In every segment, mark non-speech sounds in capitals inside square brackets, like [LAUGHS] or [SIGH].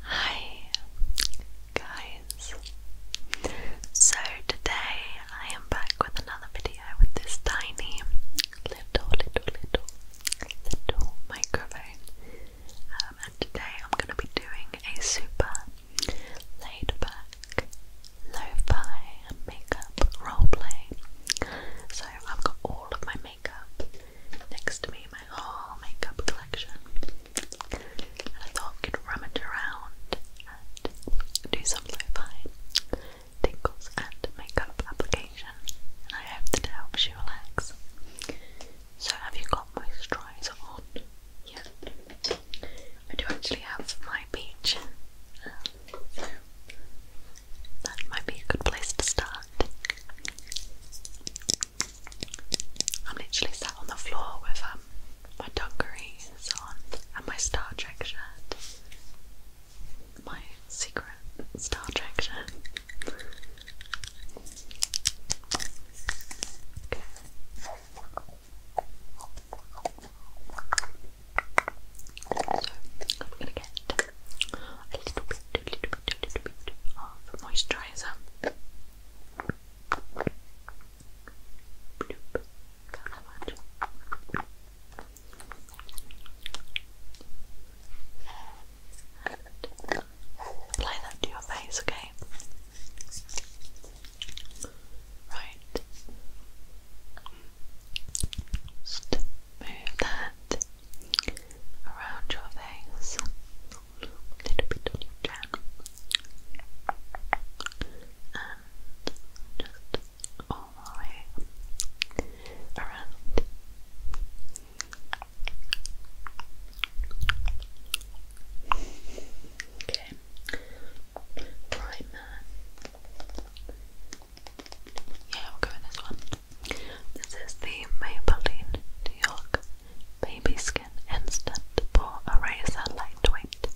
Hi guys. So today I am back with another video with this tiny little little little little microphone. Um, and today I'm gonna be doing a super laid back lo-fi makeup role play. So I've got all of my makeup next to me, my whole makeup collection and I thought I could rummage around and do some lo-fi tingles and makeup application and I hope that helps you relax. So have you got moisturiser on? Yeah. I do actually have my peach. Um, so that might be a good place to start. I'm literally sat on the floor with um, my dungarees on and my Star Trek shirt. My secret Star Trek shirt. Okay. So, I'm gonna get a little bit, a little bit, a little bit of moisturiser. Bloop. Got that to your face, okay? Right. move that around your face a little bit on your chin just all the way around. Okay, primer. Yeah, we'll go this one. This is the Maybelline New York Baby Skin Instant Pore Eraser Lightweight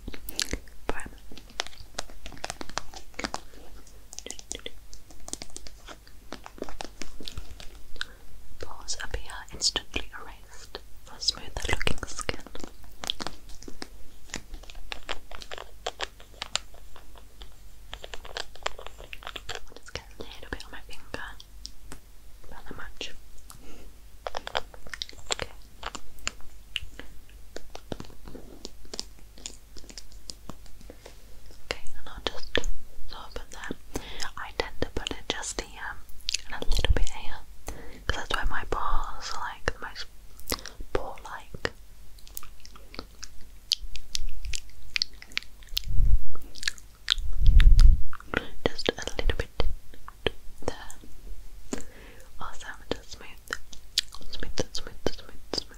Pores appear instantly erased for smoother looking skin. just get a little bit on my finger about that much. Okay. and I'll just sort of put that. I tend to put it just here and um, a little bit here that's where my balls are like the most ball like. Just a little bit there. Also, i smooth, smooth, smooth, smooth, smooth.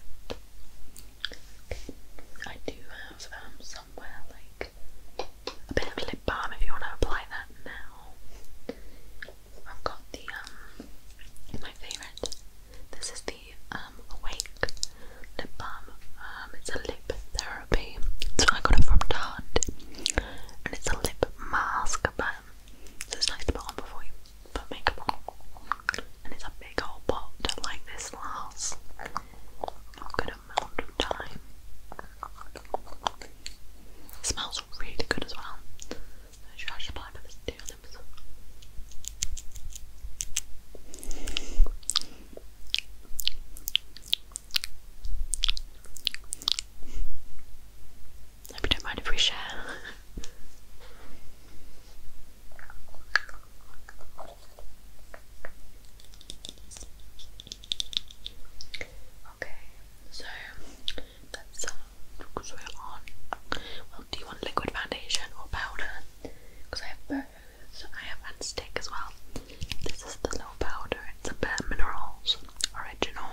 I do have um, somewhere like a bit of lip balm if you want to apply that now. I've got the um, my favorite. This is the um awake lip balm. Um, it's a lip therapy, so I got it from Tarte, and it's a lip mask, but so it's nice to put on before you put makeup on. And it's a big old pot. Like this lasts a good amount of time. It smells really good as well. I should actually apply for this to your lips. Hope don't mind if we share. okay, so that's um, we're on. Well, do you want liquid foundation or powder? Because I have both. So I have on stick as well. This is the low powder, it's a Bare Minerals original.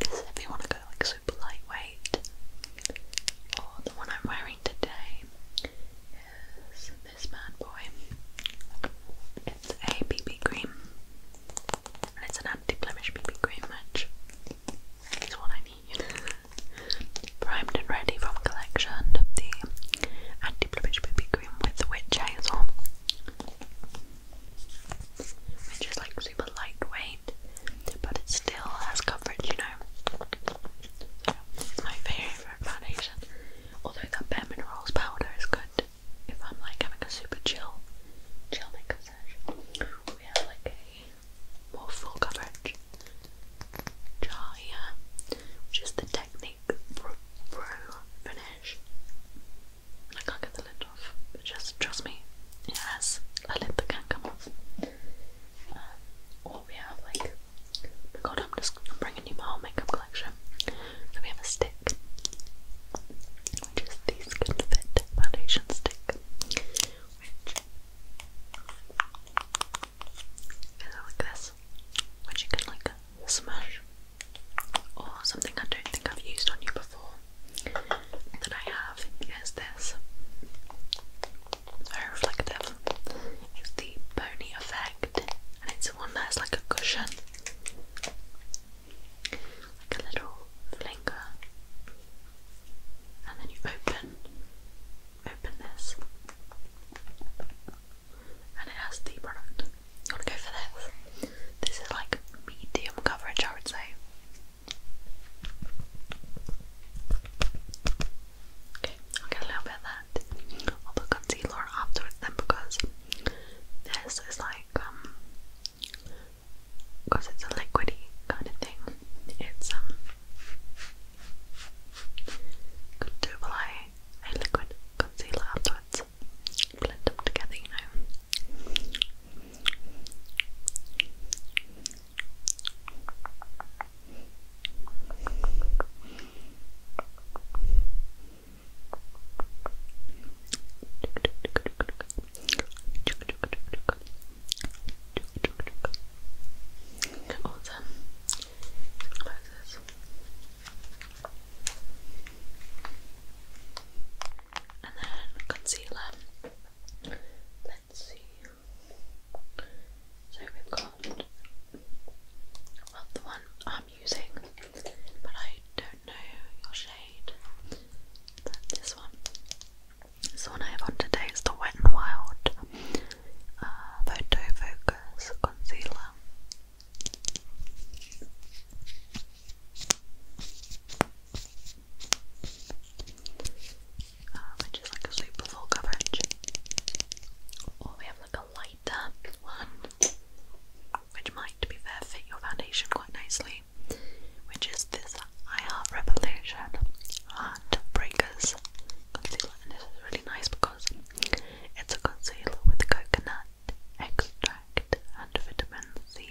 This if you want to go like super lightweight. Or the one I'm wearing today is this bad boy. It's a BB cream. And it's an anti-blemish BB cream which is what I need. [LAUGHS] Primed and ready from collection. The and Diplomage BB Cream with Witch Hazel, which is like super lightweight, but it still has coverage, you know. So it's my favourite foundation. Although that Bare Minerals powder is good if I'm like having a super chill, chill makeup session. We have like a more full coverage jar here, which is the Technique Pro, Finish. I can't get the lid off, just trust me, it has a lid that can come off. Um, we have like, oh god, I'm just bringing you my whole makeup collection. So we have a stick, which is the Skin Fit Foundation Stick, Kind of like this, which you can like smash, or something I don't think I've used on you before that I have is this. It's very reflective. It's the pony effect, and it's one that's like a cushion, like a little finger, and then you open open this and it has the product. You want to go for this? This is like medium coverage, I would say. Okay, I'll get a little bit of that. I'll concealer afterwards then because this is like, um, because it's a liquidy kind of thing, it's um, could do a liquid concealer afterwards. Blend them together, you know. Awesome. And then concealer. Let's see. So we've got the one I'm using, but I don't know your shade. But this one. This one I have on today is the Wet n Wild uh, Photo Focus Concealer um, I like a super full coverage. Or oh, we have like a lighter one, which might, to be fair, fit your foundation quite nicely, which is this I Revolution Heart concealer. And this is really nice because it's a concealer with coconut extract and vitamin C,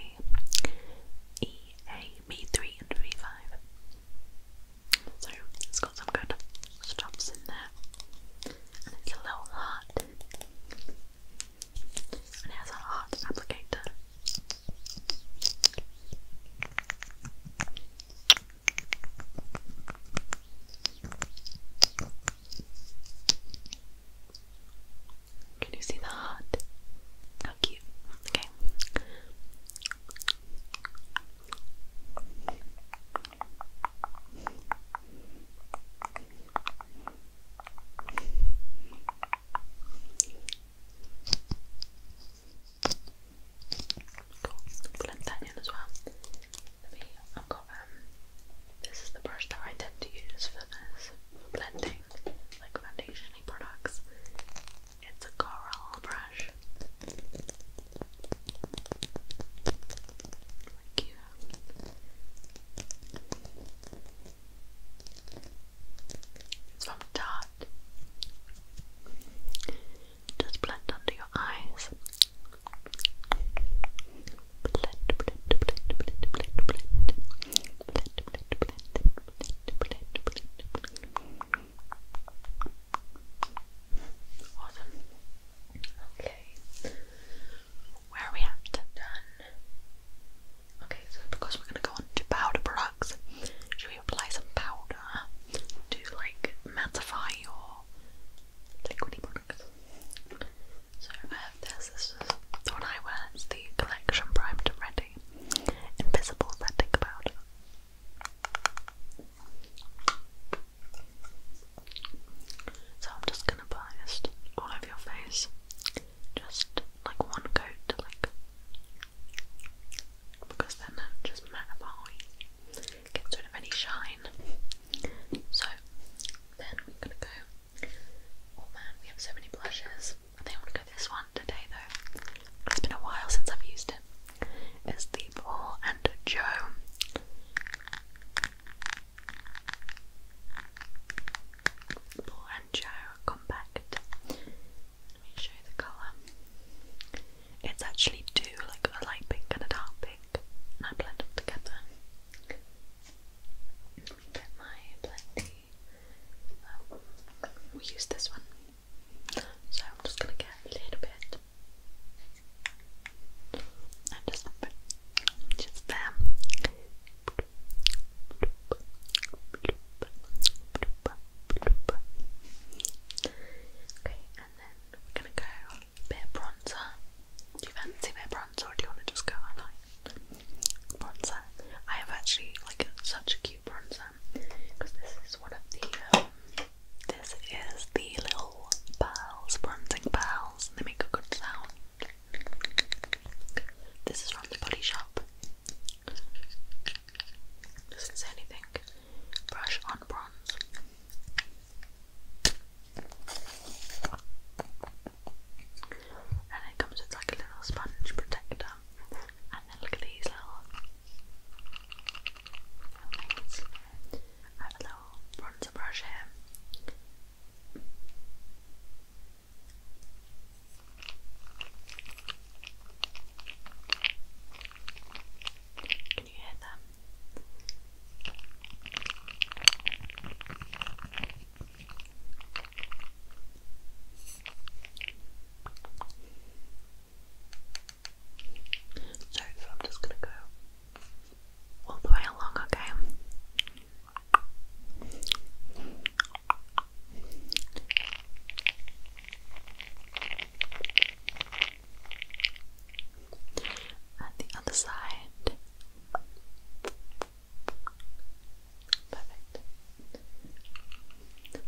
E, A, B3 and B5. So it's got some good straps in there and it's a little heart and it has a heart applicator. Can you see the How cute. Okay. Cool. as well. I've got um, this is the brush that I tend to use for this, blending, like foundation products. It's a coral brush. It's from Tarte. Just blend under your eyes. Okay. Where are we at? Done. Okay, so because we're gonna go on powder products, should we apply some powder to like mattify your liquidy products. So uh, this, is the one I wear, it's the Collection Primed and Ready Invisible Setting Powder. So I'm just gonna apply all over your face, just like one coat, like because then it just mattify gets rid of any shine. So then we're gonna go. Oh man, we have so many blushes. I think I want to go this one today though. It's been a while since I've used it. It's the Paul and Joe. Paul and Joe compact. Let me show you the colour. It's actually two, like a light pink and a dark pink and blend them together. Let me get my blendy. Um, we use this one, so I'm just gonna get a little bit and just put just there. Okay, and then we're gonna go bit of bronzer. Do you fancy bit bronzer or do you want to just go highlight? Bronzer. I have actually like such a cute bronzer because this is one of the um, this is the little pearls, bronzing pearls, they make a good sound. This is from the body shop. Doesn't say anything brush on bronze. And it comes with like a little sponge protector. And then look at these little, things. I have a little bronzer brush here. Can you So I'm just gonna go all the way along, Okay, and the other side. Perfect. Perfect. Then,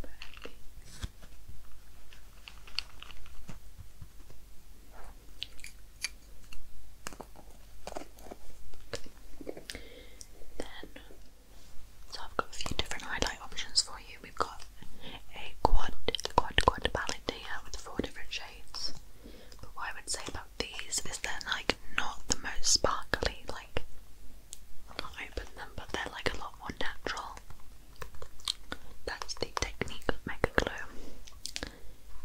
so I've got a few different highlight options for you. We've got a quad, quad, quad palette with four different shades. But what I would say about these is they're like not the most sparkly, like I open them, but they're like a lot more natural. That's the technique of Mega Glow.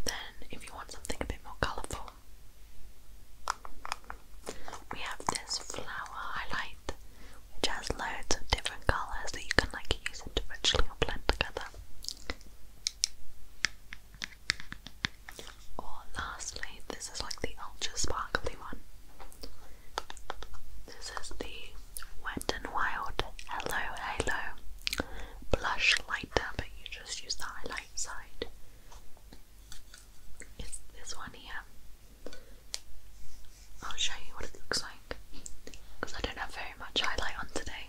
Then, if you want something a bit more colourful, we have this flower highlight which has loads of different colours that you can like use individually or blend together. Or lastly, this is like the ultra sparkly one. This is the Wet n Wild Hello Halo Blush Lighter, but you just use the highlight side. It's this one here. I'll show you what it looks like because I don't have very much highlight on today.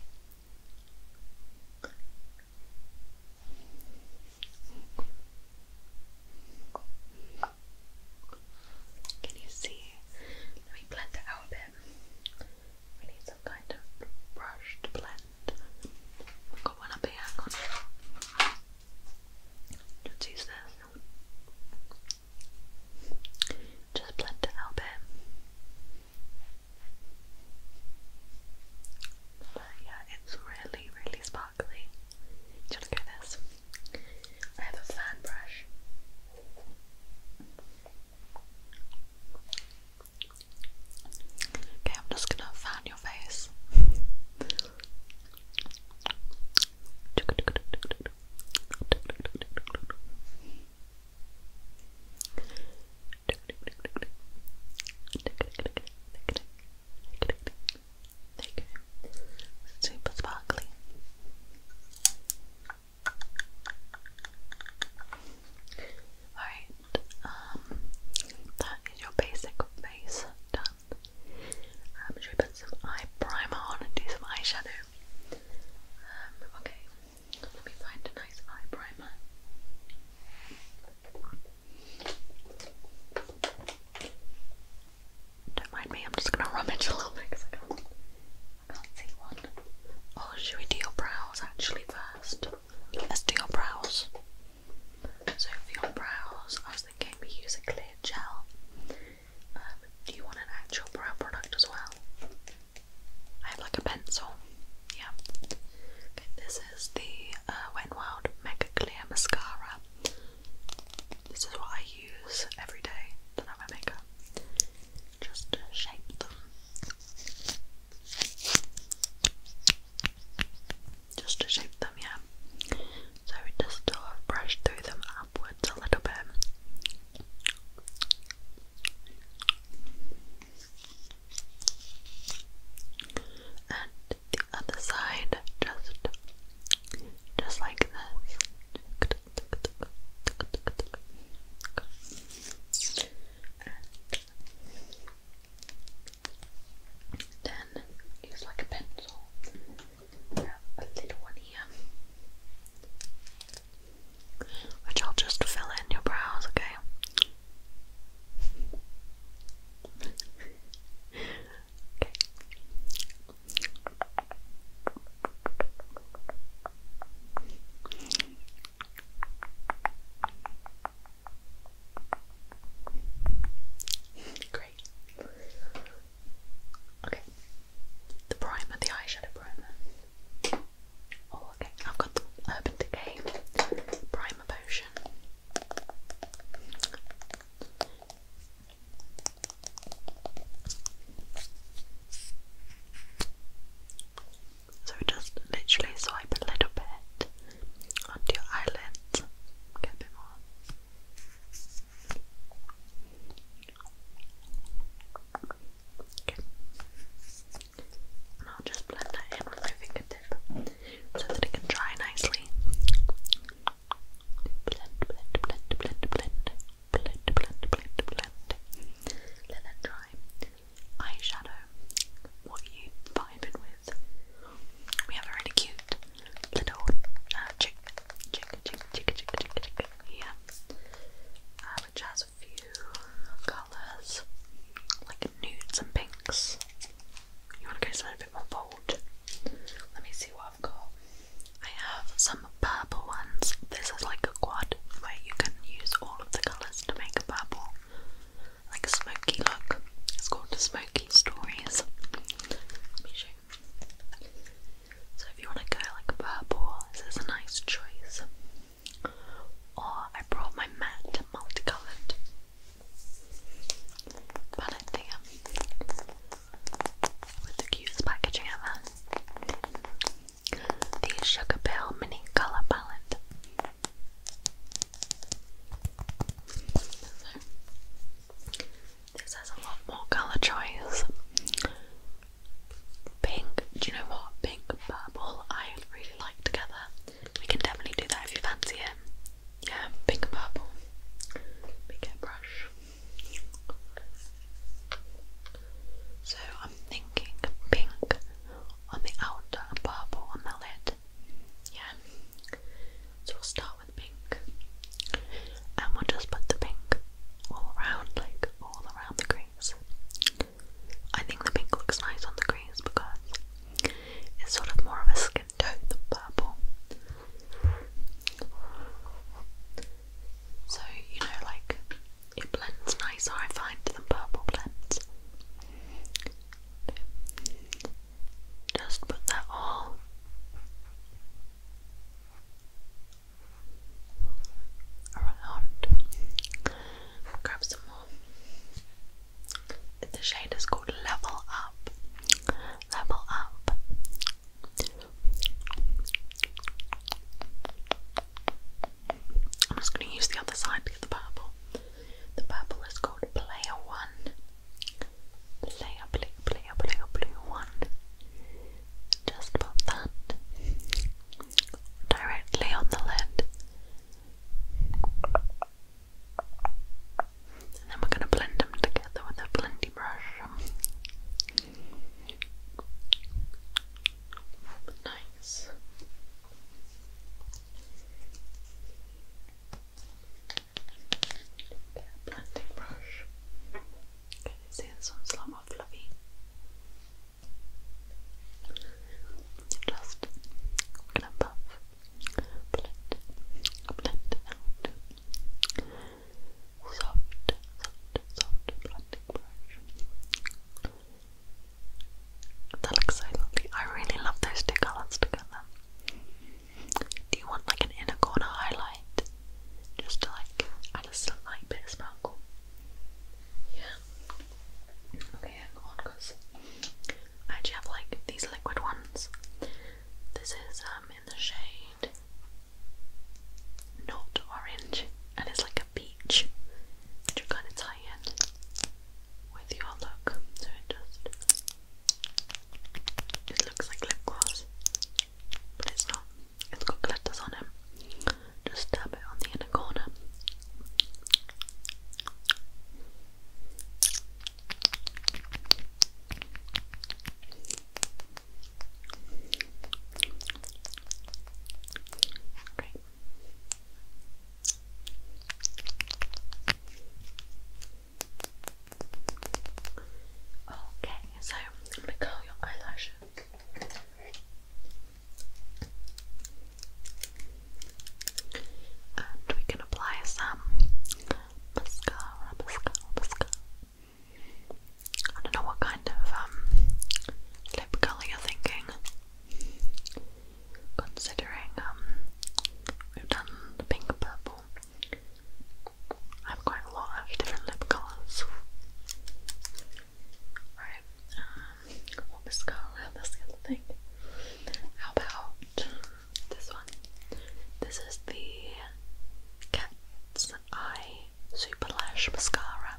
Can you see? Let me blend it out a bit. We need some kind of brush to blend. I've got one up here. Let's use this. Just blend it out a bit. But yeah, it's really, really sparkly. Do you this? I have a fan brush. Okay, I'm just gonna fan your face. [LAUGHS] There you Super sparkly. Alright, um, that is your basic face done. Um, should we put some eye primer on and do some eyeshadow? Um, okay, let me find a nice eye primer. Don't mind me, I'm just gonna rummage a little bit because I can't, I can see one. Oh, should we do your brows actually first? Let's do your brows. So for your brows, I was thinking we use a clear gel. Um, do you want an actual brow product as well? I have like a pencil. Yeah. this is the uh, Mega Clear Mascara. This is what I use every day to have my makeup. Just shape them. Just to shape them, yeah. So just sort uh, of brush through them upwards a little bit and the other side just just like this then use like a pencil a little one here which I'll just fill in your brows, okay? Great. Okay. The primer, the eyeshadow primer. Oh, okay. I've got the Urban Decay Primer Potion. So just literally swipe a little bit onto your eyelids. Get a more. I'll just blend that in with my fingertip so that it can dry nicely. Blend, blend, blend, blend, blend, blend, blend, blend, blend. Let that dry. Eyeshadow. What are you vibing with? We have a really cute little uh, chick, chick, chick, chick, chick, chick, chick here, uh, which has few colours, like nudes and pinks. You want to go something a bit more bold? Let me see what I've got. I have some purple ones. This is like a quad where you can use all of the colours to make a purple, like a smoky look. It's called Smoky Stories. Let me show so if you want to go like purple, this is a nice choice. Or I brought my matte multicolored palette with the cutest packaging ever. The Sugar Mini Color Palette. this has a lot more colour choice pink. Do you know what? Pink purple. I really like together. We can definitely do that if you fancy it. Yeah, pink and purple. Big get brush. So I'm thinking pink on the outer and purple on the lid. Yeah. So we'll start with pink. And we'll just put the pink all around, like all around the green. I think the pink looks nice on the crease because it's sort of more of a skin tone than purple. So, you know, like it blends nicer, I find, than purple blends. Just put that all around. Grab some more. The shade is called Level Up. Level Up. I'm just going to use the other side to get the purple. The purple is called Player One. Player, player, player, player, player one. Just pop that directly on the lid. And then we're going to blend them together with a blendy brush. Nice. blending brush. Okay, see this one's a lot fluffy. Just gonna buff, blend, blend Soft, soft, soft blending brush. That looks so lovely. I really love those two colours together. Do you want like an inner corner highlight? Just like add a slight bit of sparkle. Yeah. Okay, hang on, because I actually have like these liquid ones. This is um in the shade not orange, and it's like a peach, which you kind of tie in with your look. So it just it looks like lip gloss, but it's not. It's got glitters on it. Just dab it on the inner corner. Great. Okay, so I'm curl your eyelashes. And we can apply some mascara, mascara, mascara. I don't know what kind of um, lip colour you're thinking, considering um, we've done the pink and purple. I have quite a lot of different lip colours. Alright, um, well, Miss Carla, that's the thing. How about this one? This is the Cat's Eye Super Lash Mascara.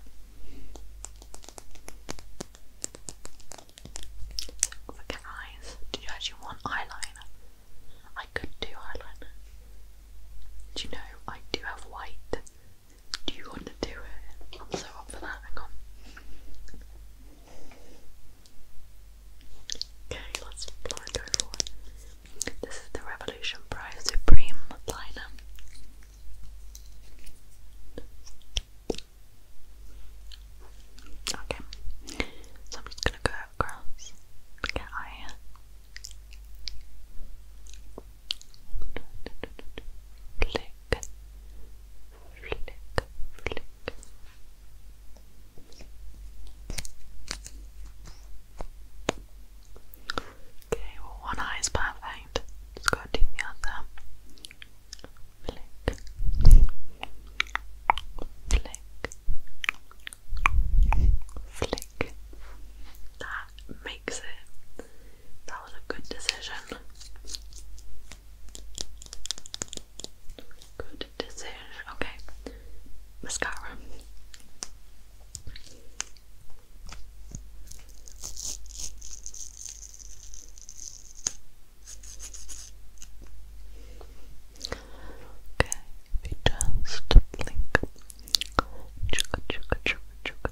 cat eyes, do you actually want eyeliner? I could do eyeliner. Do you know I do have white do you want to do it? I'm so up for that. Okay, let's go for it. This is the Revolution Pro Supreme liner. Okay, so I'm just gonna go across. Get out flick, flick, flick. Okay, well, one eye is perfect. Just go do the other. Flick, flick, flick. That that makes it. That was a good decision. Good decision. Okay. Mascara. Okay, we just blink. Chugga chugga chugga chugga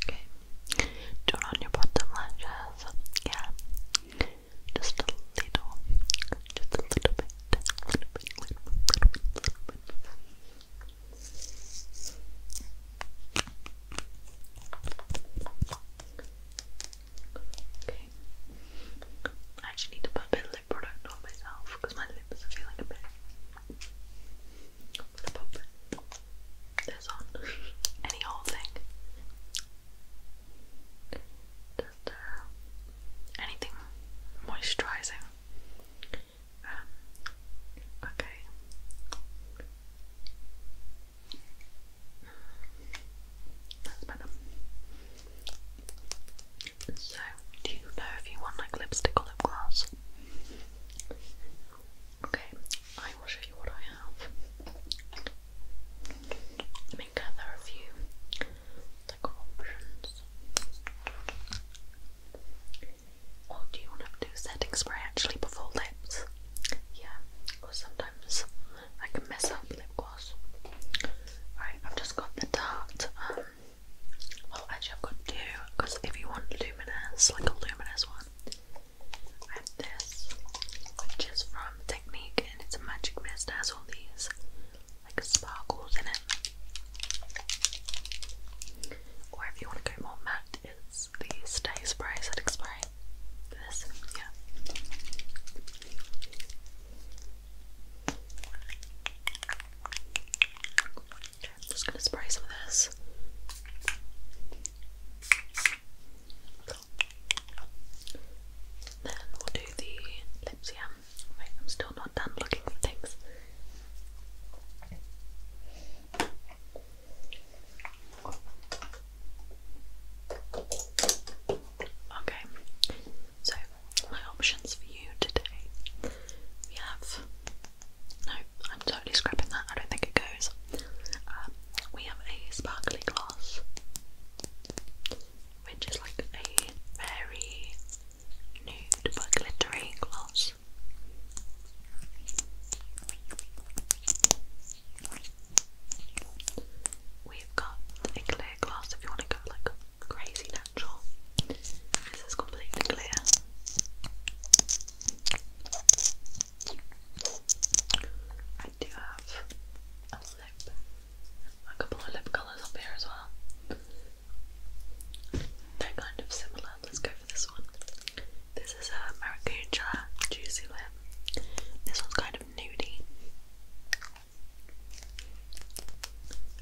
Okay, turn on your bottom lashes. Yeah, just a little, just a little bit, little little bit, little bit, Okay, I actually need to put it. bit product on myself because my lips are feeling a bit. this on. [LAUGHS] Any whole thing. Uh, anything moisturising. Um, okay. That's better. So, do you know if you want like lipstick or lip gloss? Okay, I will show you what I have. Let me gather a few like options. Or do you want to do setting spray actually before lips? Yeah, or sometimes I can mess up lip gloss. Alright, I've just got the Tarte well, actually, I've got two because if you want luminous, like a luminous one, I have this, which is from Technique, and it's a magic mist. It has all these like sparkles in it. Or if you want to go more matte, it's the Stay Spray Setting Spray. This, yeah. Okay, I'm just gonna spray some of this. Then we'll do the lips, yeah. Wait, I'm still not done looking for things. Okay, so my options for you today. We have. No, I'm totally scrapping that. I don't think it goes. Um, we have a sparkly glass, which is like a very nude but glittery glass. We've got a clear glass if you want to go like crazy this is completely clear. I do have a lip, a couple of lip colours up here as well. they kind of similar. Let's go for this one. This is a maracuja juicy lip. This one's kind of nudie.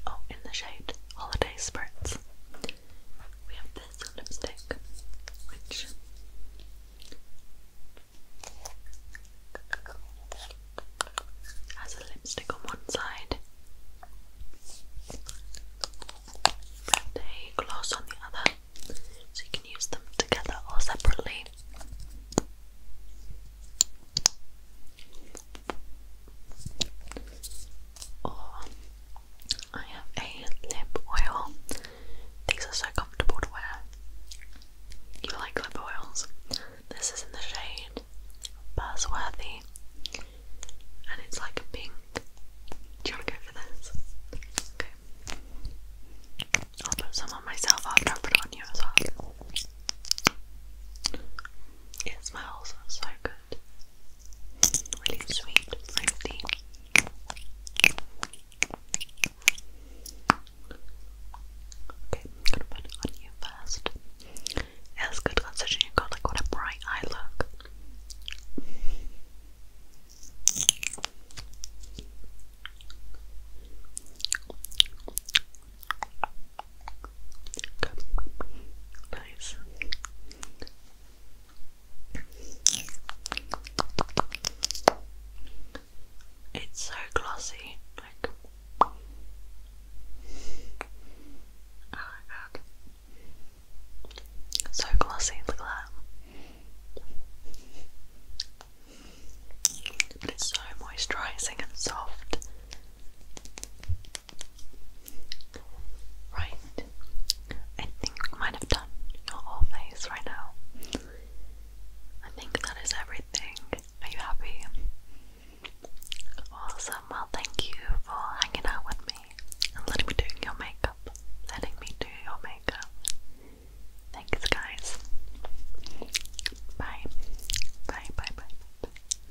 Oh, in the shade Holiday spirits. We have this lipstick, which has a lipstick on one side and a gloss on the other, so you can use them together or separately. I have a lip oil. These are so comfortable to wear. You like lip oils. This is in the shade Buzzworthy. And it's like a pink. Do you want to go for this? Okay. I'll put some on myself after I put it on you as well. It smells so good. Really sweet, fruity. Okay, I'm gonna put on you first. It's good considering you got like what bright eye look. It's so glossy, like oh my god. So glossy, look at that. it's so moisturizing and soft. Right. I think we might have done your whole face right now. I think that is everything. Are you happy? Awesome. Well, thank you for hanging out with me and letting me do your makeup. Letting me do your makeup. Thanks, guys. Bye. Bye, bye, bye. bye.